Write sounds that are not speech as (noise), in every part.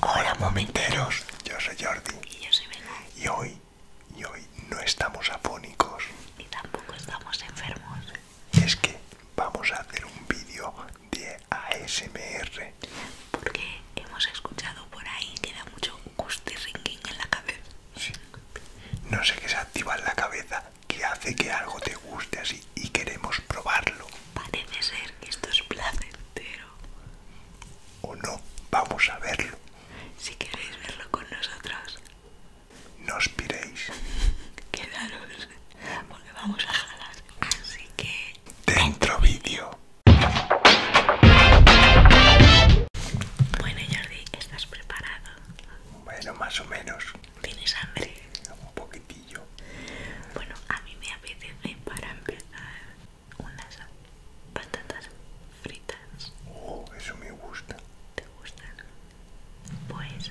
Hola momenteros, yo soy Jordi y yo soy Vega. Y hoy, y hoy no estamos afónicos y tampoco estamos enfermos. Es que vamos a hacer un vídeo de ASMR porque hemos escuchado por ahí que da mucho y en la cabeza. No sé qué se activa en la cabeza que hace que algo te guste así y queremos probarlo. Parece ser que esto es placentero. O no, vamos a verlo. Si queréis verlo con nosotros. No os piréis. (laughs) Quedaros, porque vamos a jalar. Así que... Dentro vídeo. Bueno Jordi, ¿estás preparado? Bueno, más o menos. ¿Tienes hambre? Un poquitillo. Bueno, a mí me apetece para empezar unas patatas fritas. Oh, eso me gusta. ¿Te gustan? Pues...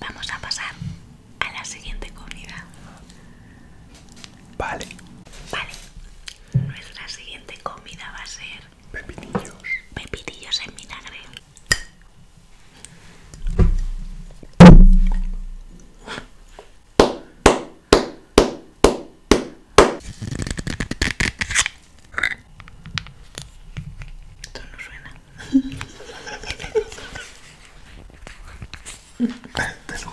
Vamos a pasar a la siguiente comida. Vale. Vale. Nuestra siguiente comida va a ser pepitillos. Pepitillos en vinagre. Esto no suena. Este no.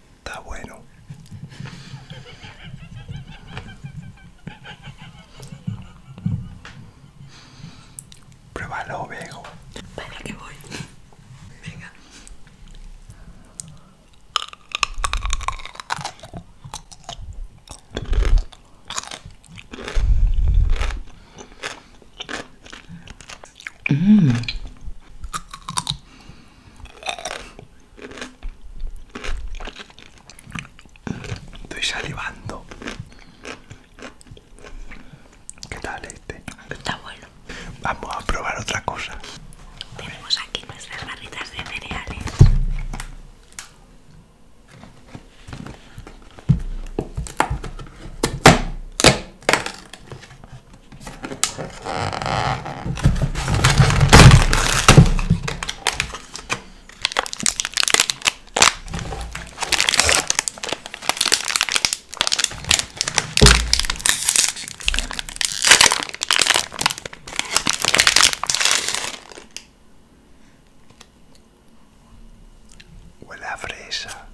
Está bueno. Pruébalo, ovejo. Para que voy. Venga. ¡Mmm! Estoy salivando. ¿Qué tal este? Está bueno. Vamos a probar otra cosa. Tenemos aquí nuestras barritas de cereales. Huele a fresa.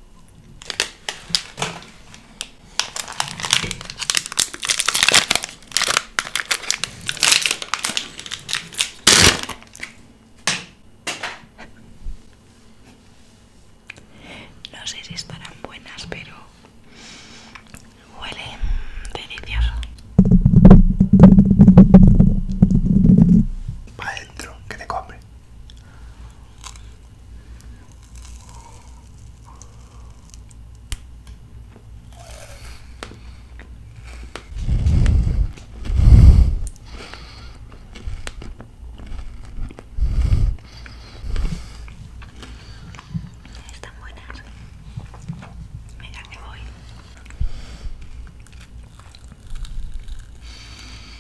No sé si estarán buenas, pero huele delicioso. Para adentro, que te compre. Están buenas. me que voy.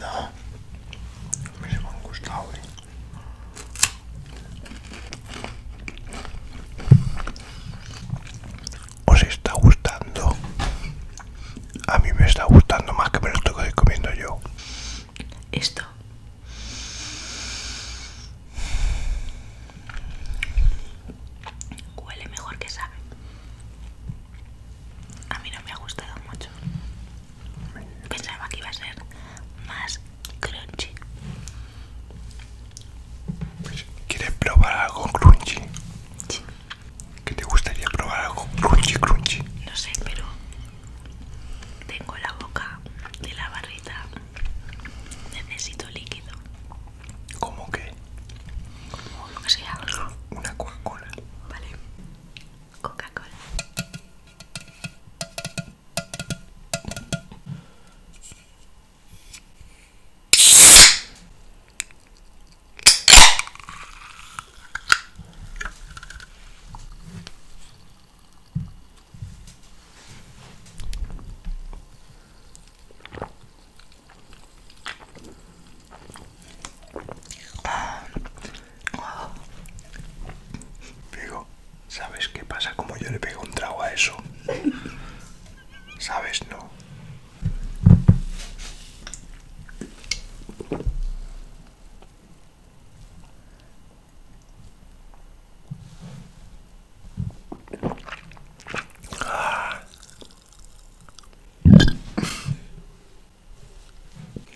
No, me se me han gustado, ¿Os está gustando? A mí me está gustando más que me lo estoy comiendo yo. Esto. Huele mejor que sabe a mí no me ha gustado mucho. Pensaba que iba a ser más crunchy. ¿Quieres probar algo crunchy? Sí. ¿Qué te gustaría probar algo crunchy, crunchy? No sé, pero tengo la boca de la barrita. Necesito líquido. ¿Cómo qué? ¿Cómo? lo que llama? Una Coca-Cola. Vale. Coca-Cola. Digo, ¿sabes qué pasa como yo le pego un trago a eso? ¿Sabes? No.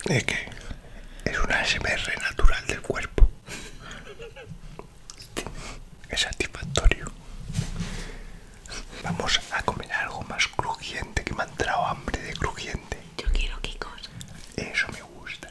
Es que es una SMR natural del cuerpo. Es satisfactorio. Vamos a comer algo más crujiente que me ha entrado hambre de crujiente. Yo quiero Kikos. Eso me gusta.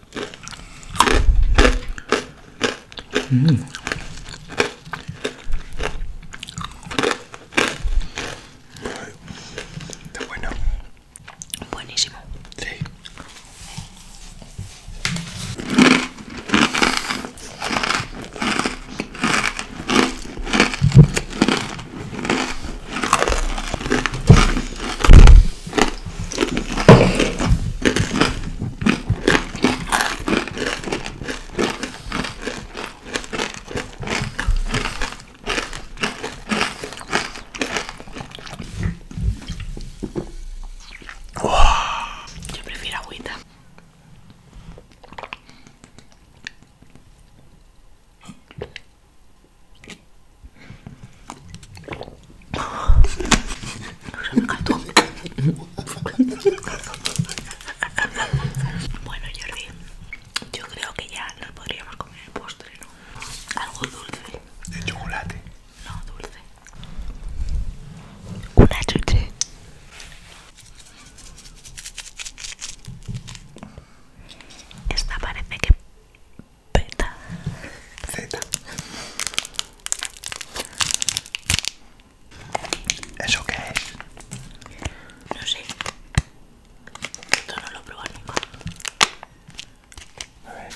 Mmm, Está bueno. Buenísimo. Sí. Yo prefiero agüita. Bueno, Jordi, yo creo que ya nos podríamos comer el postre, ¿no? Algo dulce. ¿De chocolate? No, dulce. Una chuche. Esta parece que Z Zeta. ¿Eso qué es? No sé. Esto no lo he A ver.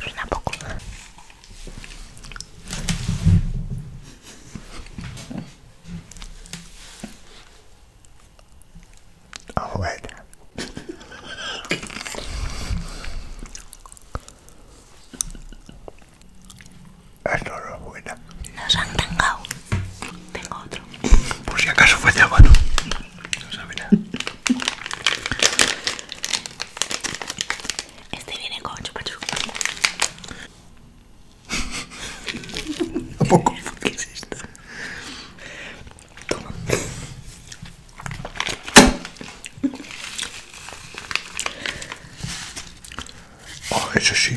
Suena poco. Ah, bueno. Esto no es buena. Nos han tangado. Tengo otro. Por si acaso fue de mano no sabe nada. Este viene con chupachupa. ¿A poco, ¿qué es esto? Toma. Oh, eso sí.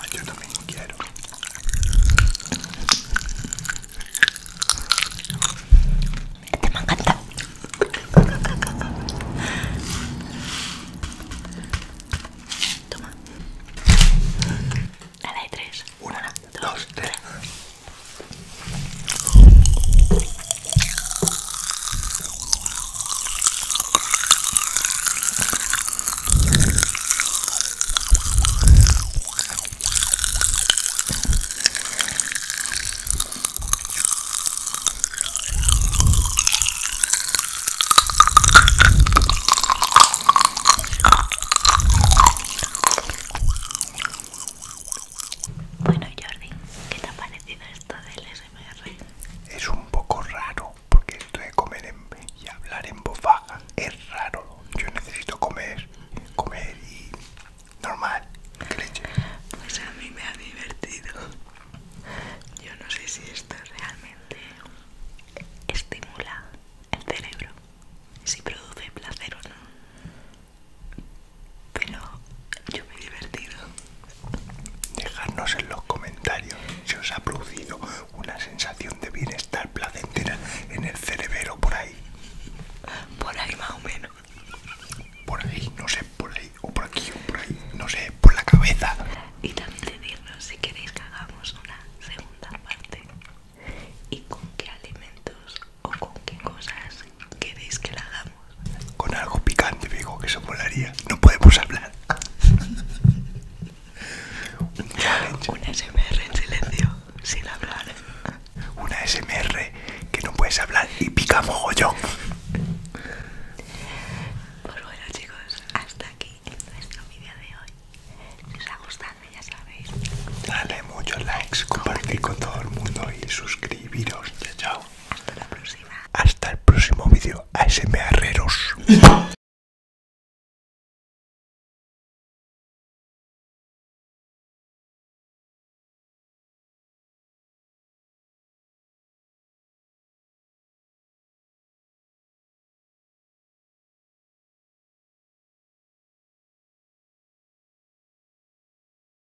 Ay, yo también quiero. Este me encanta. Toma. A la de tres. Una, dos, tres. Bueno Jordi, ¿qué te ha parecido esto del es un poco raro porque esto de comer en, y hablar en voz baja es raro. Yo necesito comer, comer y normal. Pues a mí me ha divertido. Yo no sé si esto realmente estimula el cerebro, si produce placer o no pero yo me he divertido. Dejadnos en los comentarios si os ha producido una sensación de bienestar placentera en el cerebro por ahí. Por ahí más o menos. Por ahí, no sé, por ahí, o por aquí, o por ahí, no sé, por la cabeza. Y también decirnos si queréis que hagamos una segunda parte y con qué alimentos o con qué cosas ¿Queréis que la hagamos? Con algo picante, digo, que se molaría. No podemos hablar. (laughs) Un challenge. SMR en silencio, sin hablar. Una SMR que no puedes hablar y pica mogollón. Pues bueno, chicos, hasta aquí nuestro vídeo de hoy. Si os ha gustado, ya sabéis. Dale muchos likes, compartid con todo el mundo y suscribiros. chao. Hasta la próxima. Hasta el próximo vídeo. ASMReros.